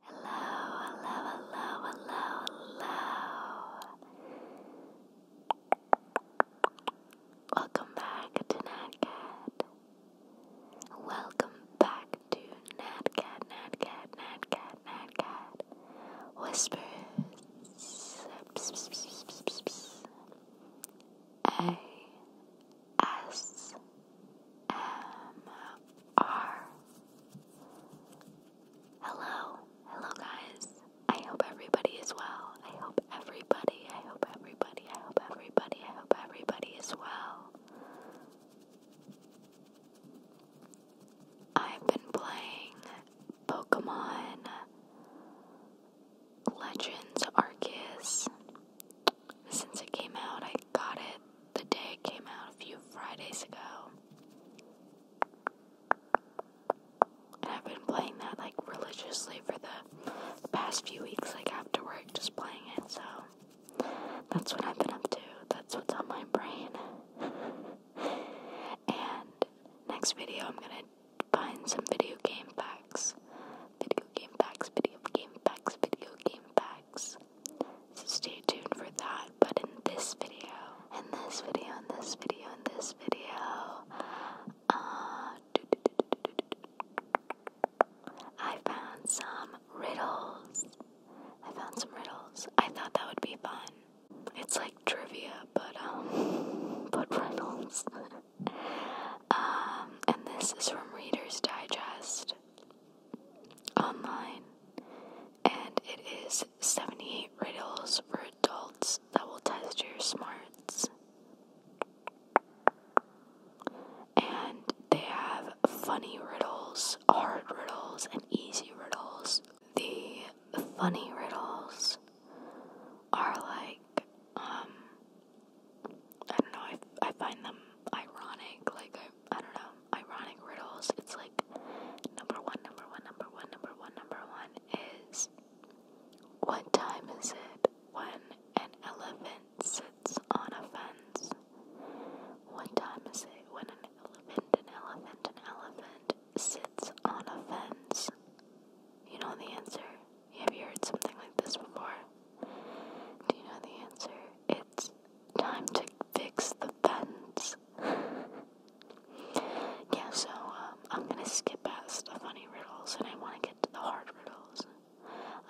Hello, hello, hello, hello, hello. Welcome back to NatCat. Welcome back to NatCat, NatCat, NatCat, NatCat. Whispers. A. S. M.R. Hello, hello guys. I hope everybody is well. I hope everybody, I hope everybody, I hope everybody, I hope everybody is well. I've been playing Pokemon Legends Arceus since it came out. I got it the day it came out a few Fridays ago. And I've been playing that like religiously for the, past few weeks, like after work, just playing it. So that's what I've been up to. That's what's on my brain. and next video, I'm gonna find some video game facts. Video game facts, video game facts, video game facts. So stay tuned for that. But in this video, in this video, in this video, in this video, uh, I found some riddles. I found some riddles. I thought that would be fun. It's like trivia, but um, but riddles. um, and this is from Reader's Digest online, and it is 78 riddles for adults that will test your smarts. And they have funny riddles, hard riddles, and easy riddles. The funny riddles are like, um, I don't know, I, I find them ironic, like, I, I don't know, ironic riddles. It's like, number one, number one, number one, number one, number one is, what time is it when an elephant sits on a fence? What time is it when an elephant, an elephant, an elephant sits on a fence? You know the answer. Have you heard something like this before? Do you know the answer? It's time to fix the fence. yeah, so um, I'm gonna skip past the funny riddles and I wanna get to the hard riddles.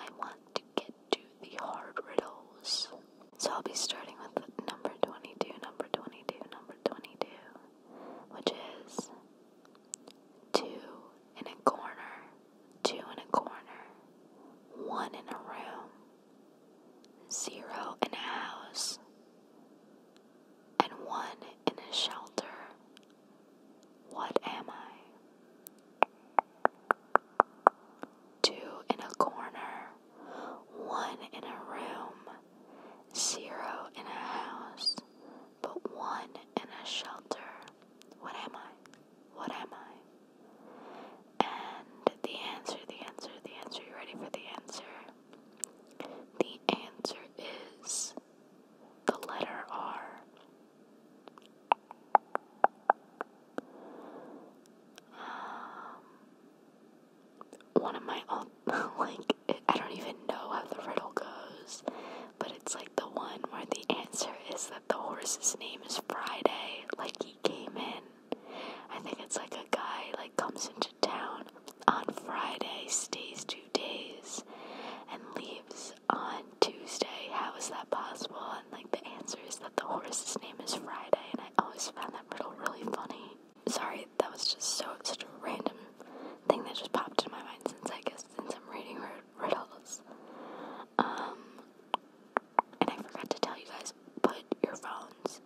I want to get to the hard riddles. So I'll be starting with number 22, number 22, number 22, which is two in a corner, two in a corner, one in a room, zero in a house, and one in a shelter. What am I? Two in a corner, one in a room, zero in a house, but one in a shelter. What am I? What am I? And the answer, the answer, the answer. You ready for the answer? The answer is the letter R. Um, one of my old, like, I don't even know how the riddle goes, but it's like the one where the answer is that the horse's name is Friday. Like he came in. I think it's like a guy like comes into town on Friday, stays two days, and leaves on Tuesday. How is that possible? And like the answer is that the horse's name is Friday, and I always found that riddle really funny. Sorry, that was just so such a random thing that just popped in my mind since I guess since I'm reading riddles. Um, and I forgot to tell you guys, put your phones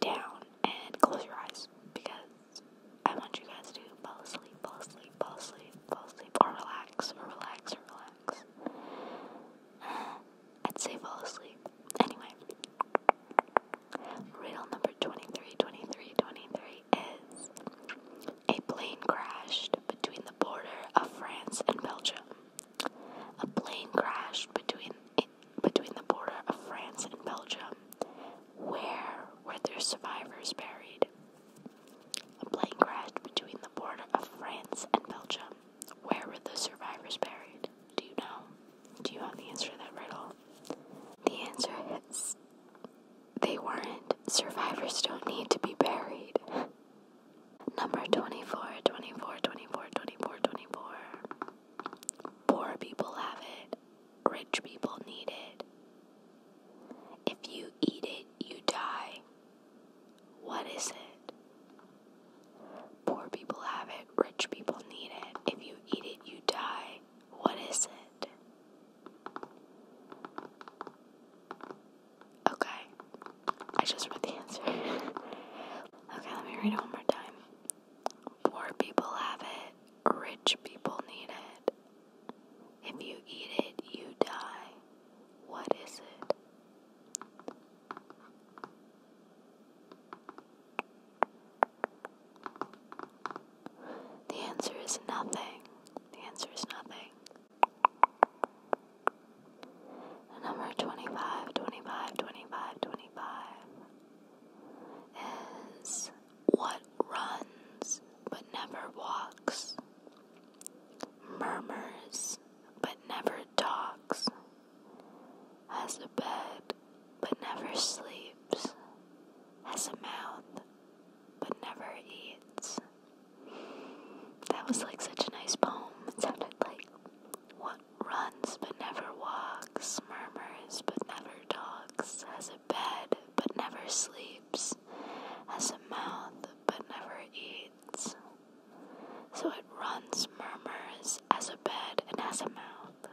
down and close your eyes because I want you guys to fall asleep, fall asleep, fall asleep, fall asleep, or relax, or relax, relax. I'd say fall asleep. Anyway, riddle number 23, is a plane crashed between the border of France and Belgium. A plane crashed between between the border of France and Belgium. Where were their survivors buried? A plane crashed between the border of France and Belgium. Where were the survivors buried? Do you know? Do you have the answer to that riddle? The answer is they weren't. Survivors don't need to be buried. Number 24, 24, 24, 24, 24. Poor people have it, rich people need it. If you eat it, you die. What is it? Poor people have it, rich people need it. If you eat it, you die. What is it? Okay, I just read the answer. okay, let me read it one more time. Poor people have it, rich people need it. If you eat it, you die. What is it? The answer is nothing. The answer is nothing. The number 25, 25, 25, 25 is what runs but never walks, murmurs but never talks, has a bed but never sleeps, has a mouth but never eats. That was like such a nice poem. It sounded like what runs but never walks, murmurs but never talks, has a bed but never sleeps, has a mouth but never eats. So it runs, murmurs, has a bed, and has a mouth.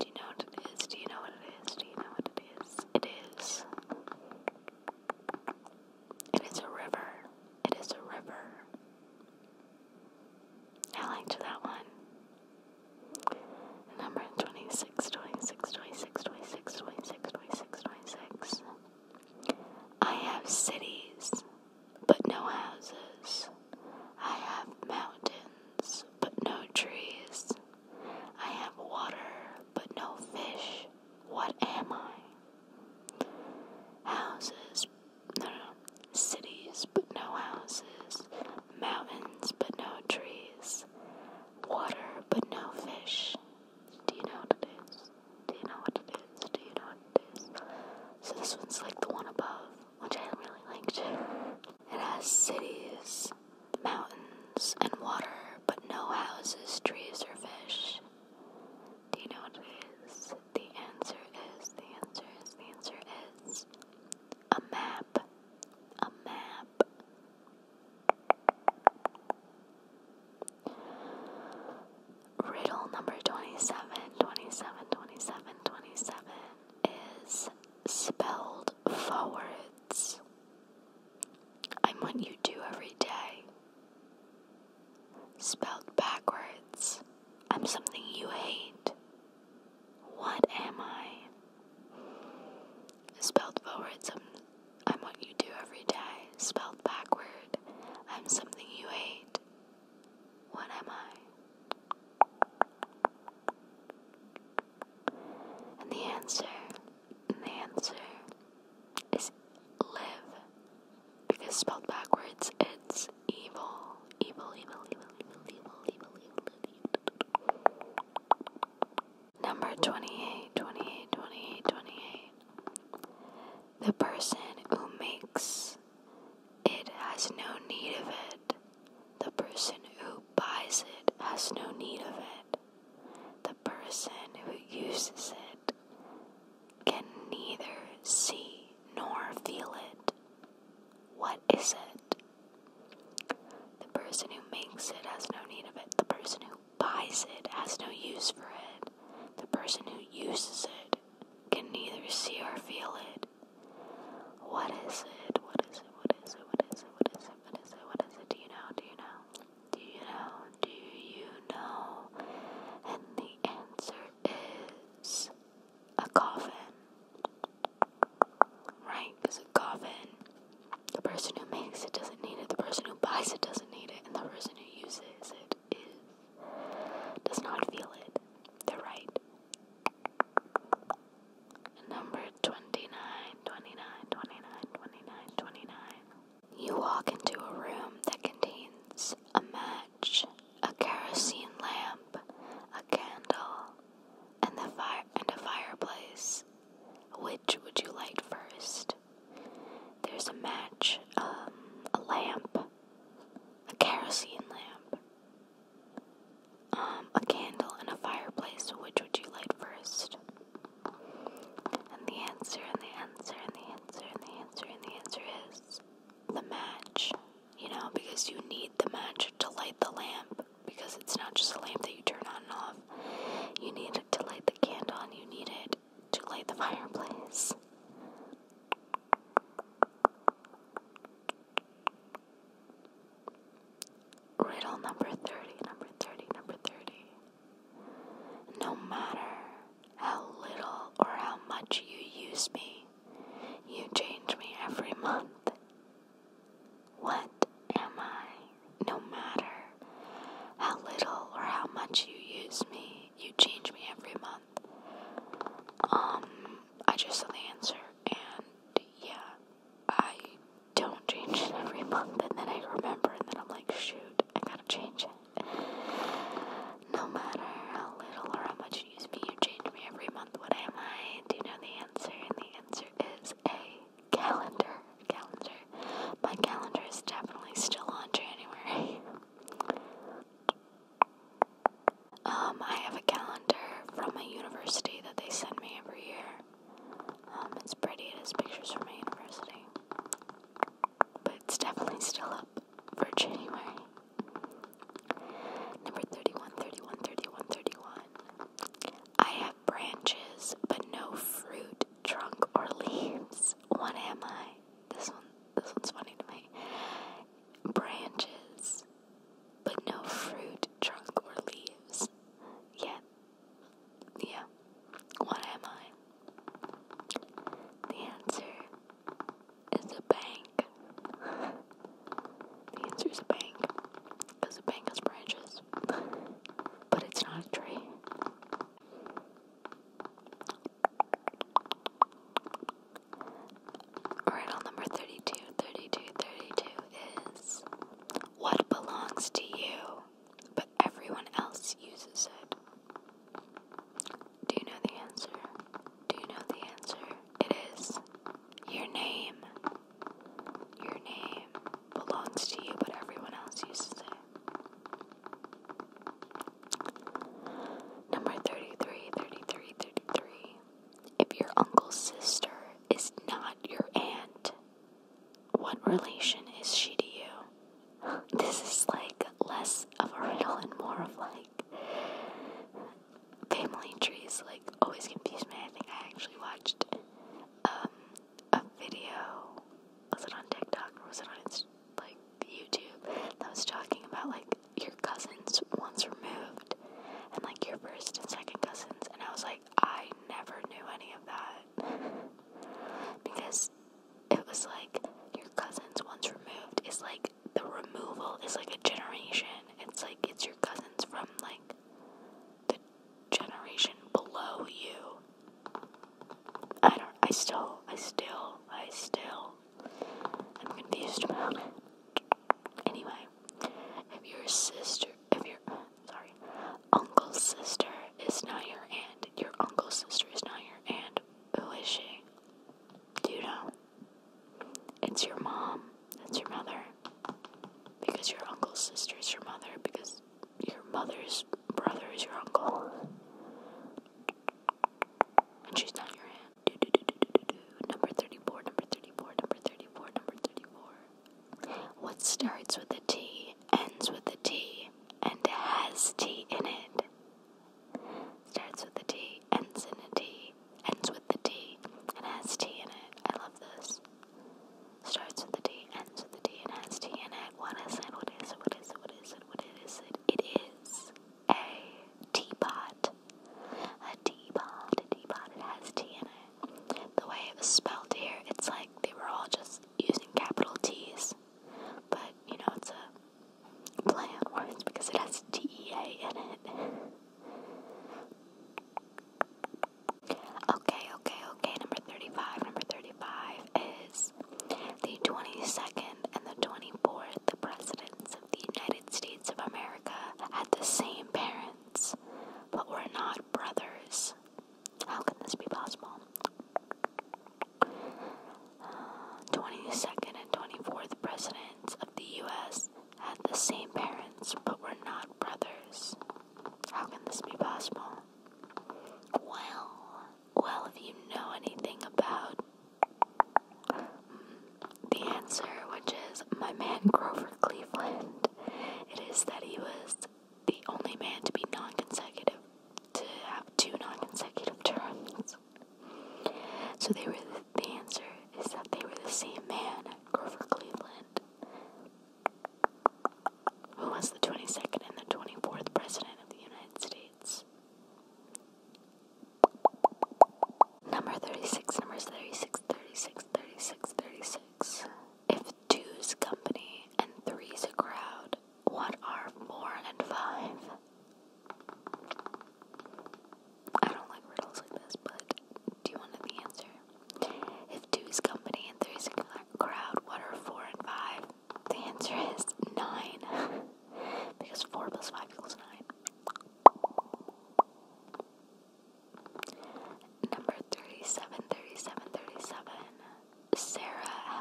Do you know what it is? Do you know what it is? Do you know what it is? It is it is a river. It is a river. I liked that one. Number 26, I have cities, but no houses. I have mountains, but no trees. I have water, but no fish. What am I? Houses, no, no, cities, but no houses. Mountains, but no trees. Water, but no fish. Do you know what it is? Do you know what it is? Do you know what it is? So this one's like the one above, which I really liked. It has cities, mountains, and water, but no houses, trees, or fish. Do you know what it is? The answer is, the answer is, the answer is a map. A map. Riddle number 27, is spelled forwards. I'm what you do every day. Spelled backwards, I'm something you hate. What am I? Spelled forwards, I'm, I'm what you do every day. Spelled backward, I'm something you hate. What am I? And the answer the answer is live. Because spelled backwards, it's evil. Evil, evil, evil, evil, evil, evil, evil, evil. Number 28, 28, 28, 28. The person who makes it has no need of it. The person who buys it has no need of it. The person who uses it can neither see nor feel it. What is it? The person who makes it has no need of it. The person who buys it has no use for it. The person who uses it can neither see or feel it. What is it? What is it? What is it? What is it? What is it? What is it? What is it? Do you know? Do you know? Do you know? Do you know? And the answer is a coffin. Right? Because a coffin, the person who makes it doesn't need it, the person who buys it doesn't need it, and the person who uses it does not feel it. They're right. Number 29, 29, 29, 29, 29. You walk into a room that contains a match, a kerosene lamp, a candle, and the fire and a fireplace. Which would you light first? There's a match, um, a lamp, a kerosene lamp, um, a candle and a fireplace, which would you light first? And the answer, and the answer, and the answer, and the answer, and the answer is the match. You know, because you need the match to light the lamp, because it's not just a lamp that you turn on and off. You need it to light the candle, and you need it to light the fireplace. Riddle number 30, number 30, number 30. No matter how little or how much you use me, you change me every month. What am I? No matter how little or how much you use me, you change me every month. Um, I just saw the answer, and yeah. I don't change it every month, and then I remember, and then I'm like, shoot, I gotta change it. No matter how little or how much you use me, you change me every month. What am I? Do you know the answer? And the answer is a calendar. Calendar. My calendar is definitely still on January. um, I have a calendar from a university that they send me every year. Um, it's pretty, it has pictures from my university. But it's definitely still up for January. Number 31, I have branches, but no fruit, trunk, or leaves. What am I? This one, this one's funny to me. Branches, but no fruit, trunk, or leaves. Yet, yeah, what am I? The answer is a bank. the answer is a bank, because a bank has branches, but it's not a tree riddle number 32, 32, 32 is What belongs to you, but everyone else uses it? Do you know the answer? Do you know the answer? It is your name. Your name belongs to you, but everyone else uses it. Number 33, if your uncle's sister is not your aunt, what relation is she to you? This is like less of a riddle and more of like family trees, like always confuse me. I think I actually watched um, a video. Was it on TikTok or was it on like YouTube that was talking about like your cousins once removed and like your first and second cousins and I was like I never knew any of that because it was like your cousins once removed is like the removal is like a generation. It's like it's your cousins from like the generation below you. I don't I still I still I still I'm confused about it. Anyway, if your sister, if your, sorry, uncle's sister is not your aunt, your uncle's sister is not your aunt, who is she? Do you know? It's your mom. It's your mother. Because your uncle's sister is your mother. Because your mother's brother is your uncle. And she's not your aunt. Do, do, do, do, do, do, do. Number 34, number 34, number 34, number 34. What starts with a T, ends with a T, and has T in it? Starts with a T, ends in a T, ends with the T, and has T in it. I love this. Starts with a T, ends with a T, and has T in it. What is it? What is it? What is it? What is it? What is it? What is it? It is a teapot. A teapot, a teapot, it has tea in it. The way it was spelled here, it's like they were all just using capital T's. But, you know, it's a play on words because it has T-E-A in it. okay, okay, okay, number 35. Number 35 is the 22nd and the 24th, the presidents of the United States of America had the same parents, but were not brothers. How can this be possible? 22nd uh, and 24th presidents of the US had the same parents, but were not brothers. How can this be possible? Well, well, if you know anything about the answer, which is my man Grover Cleveland, it is that he was the only man to be non consecutive, to have two non consecutive terms. So they were the, answer is that they were the same man, Grover Cleveland, who was the 22nd and the 24th president of the United States. Number 36, numbers 36, 36, 36, 36. If two's company and three's a crowd, what are four and five? I don't like riddles like this, but do you want the answer? If two's company and three's a crowd, what are four and five? The answer is nine. because four plus five equals nine. Number 37, Sarah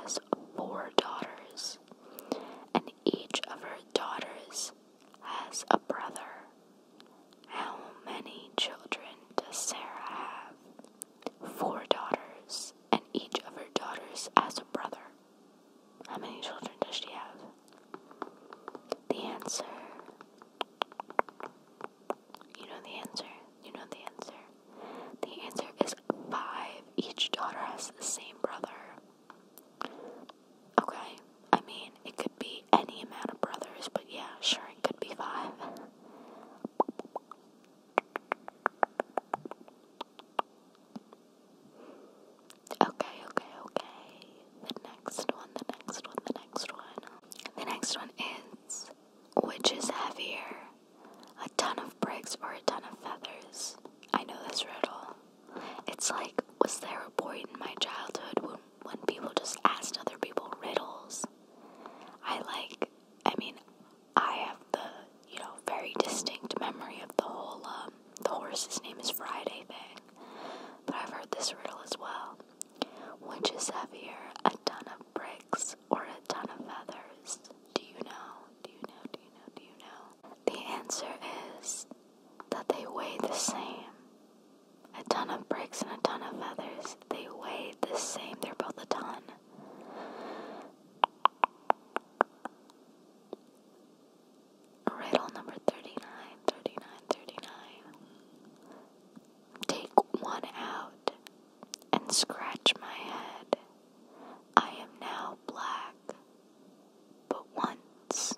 has four daughters, and each of her daughters has a brother. How many children does Sarah have? Four daughters, and each of her daughters has a brother. How many children does she have? The answer. You know the answer. You know the answer. The answer is five. Each daughter has the same brother. Okay, I mean, it could be any amount of brothers, but yeah, sure, it could be five. Okay, okay, okay. The next one, the next one, the next one. The next one is which is heavier? A ton of bricks or a ton of feathers? I know this riddle. It's like, was there a point in my childhood when, when people just asked other people riddles? I like, I mean, I have the, you know, very distinct memory of the whole, um, the horse's name is Friday thing. But I've heard this riddle as well. Which is heavier, a ton of bricks or a ton of feathers? Do you know? Do you know? Do you know? Do you know? The answer is that they weigh the same. A ton of bricks and a ton of feathers, they weigh the same. They're both a ton. Riddle number 39, Take one out and scratch my head. I am now black, but once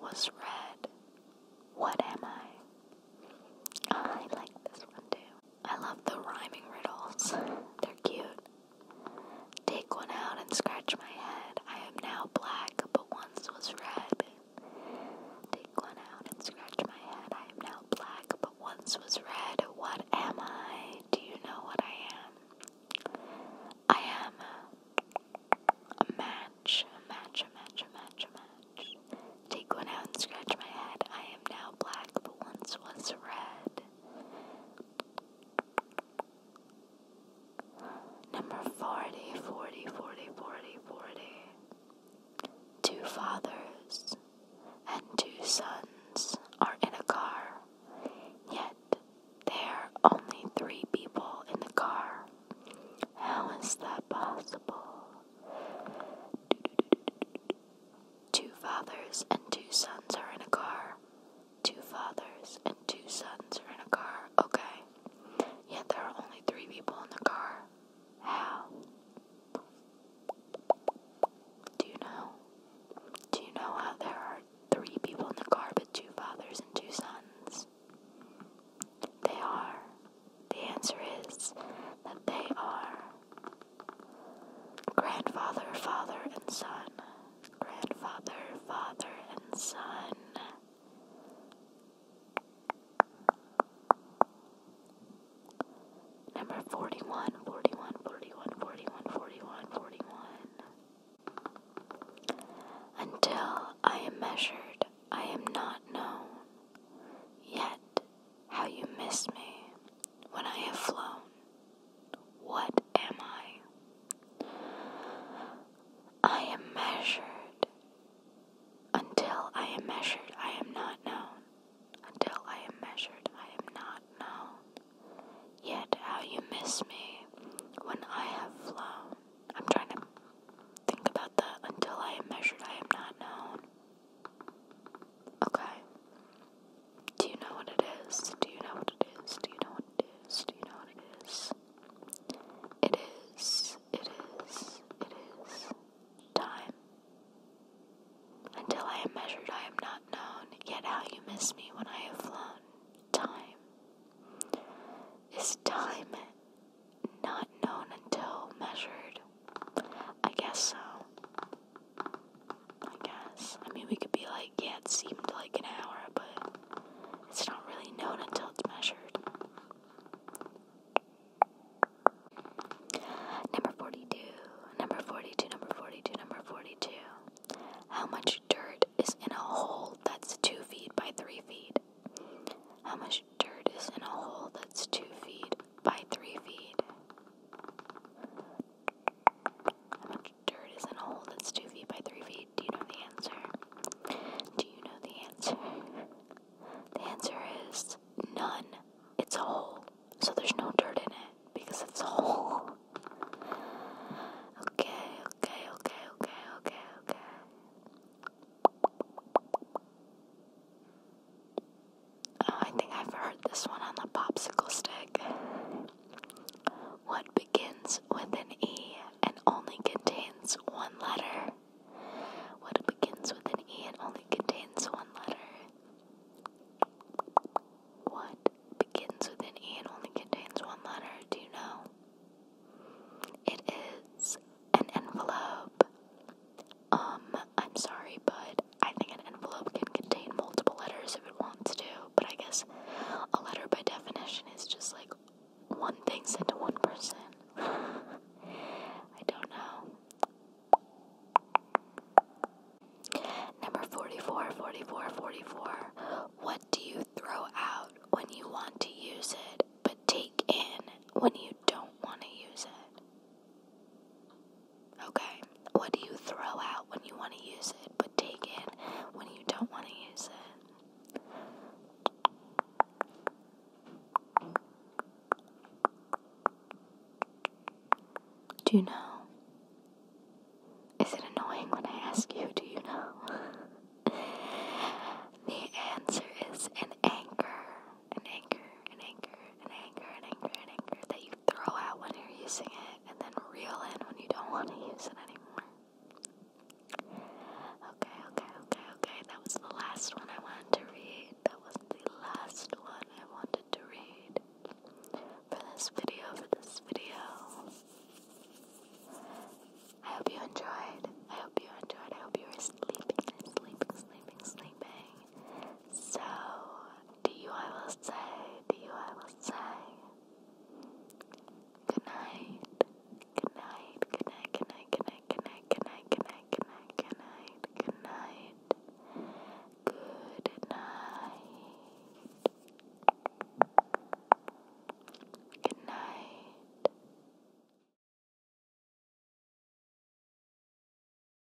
was red. What am I? I like this one too. I love the rhyming riddles, they're cute. Take one out and scratch my head. I am now black, but once was red. Take one out and scratch my head. I am now black, but once was red. What am I? Do you know what I am? I am a, a match, a match, a match, a match, a match. Take one out and scratch my head. I am now black, but once was red. Number 40, 40, 40, 40, 40. Two fathers and two sons are in a car, yet there are only three people in the car. How is that possible? Two fathers and two sons are in a car, Two fathers and two sons are in a car, okay. Yet there are only three people in the car. How? Do you know? Do you know how there are three people in the car but two fathers and two sons? They are. The answer is that they are grandfather, father, and son grandfather, father, and son. Number 41, Until I am measured, I am not known. Yet, how you miss me when I have flown. What am I? I am measured. Until I am measured, I am not known. Until I am measured, I am not known. Yet how you miss me when I have flown. I'm trying to think about that. Until I am measured, I am not known. Okay. Do you know what it is? Do you know what it is? Do you know what it is? Do you know what it is? It is, it is, it is time. Until I am measured, I am not known, yet how you miss me when I have flown. Time. Is time not known until measured? I guess so. I guess. I mean, we could be like, yeah, it seemed like an hour, but it's not really known until it's measured. Number 42, number 42, number 42, number 42. How much dirt is in a hole that's 2 feet by 3 feet? How much dirt is in a hole that's 2 feet by 3 feet? How much dirt is in a hole that's 2 feet by 3 feet? Do you know the answer? Do you know the answer? The answer is none. It's a hole. So there's no dirt in it because it's a hole. Okay, okay, okay, okay, okay, okay. Uh, I think I've heard this one on the popsicle stick. What begins with an E and only contains one letter? What begins with an E and only contains one letter? What begins with an E and only contains one letter? Do you know? It is an envelope. Um, I'm sorry, but I think an envelope can contain multiple letters if it wants to, but I guess a letter by definition is just like one thing sent to one person. I don't know. Number 44, 44, 44. What do you throw out when you want to use it, but take in when you don't want to use it? Okay? What do you throw out when you want to use it but take in when you don't want to use it? Do you know? Is it annoying when I ask you, do you know? the answer is an anchor. An anchor, an anchor, an anchor, an anchor, an anchor that you throw out when you're using it, and then reel in when you don't want to use it anymore. Okay, okay, okay, okay. That was the last one I wanted to read. That was the last one I wanted to read for this video. For this video. I hope you enjoyed. I hope you enjoyed. I hope you were sleeping, sleeping, sleeping, sleeping. So to you I will say, to you I will say, good night, good night, good night, good night, good night, good night, good night, good night, good night, good night, good night, good night.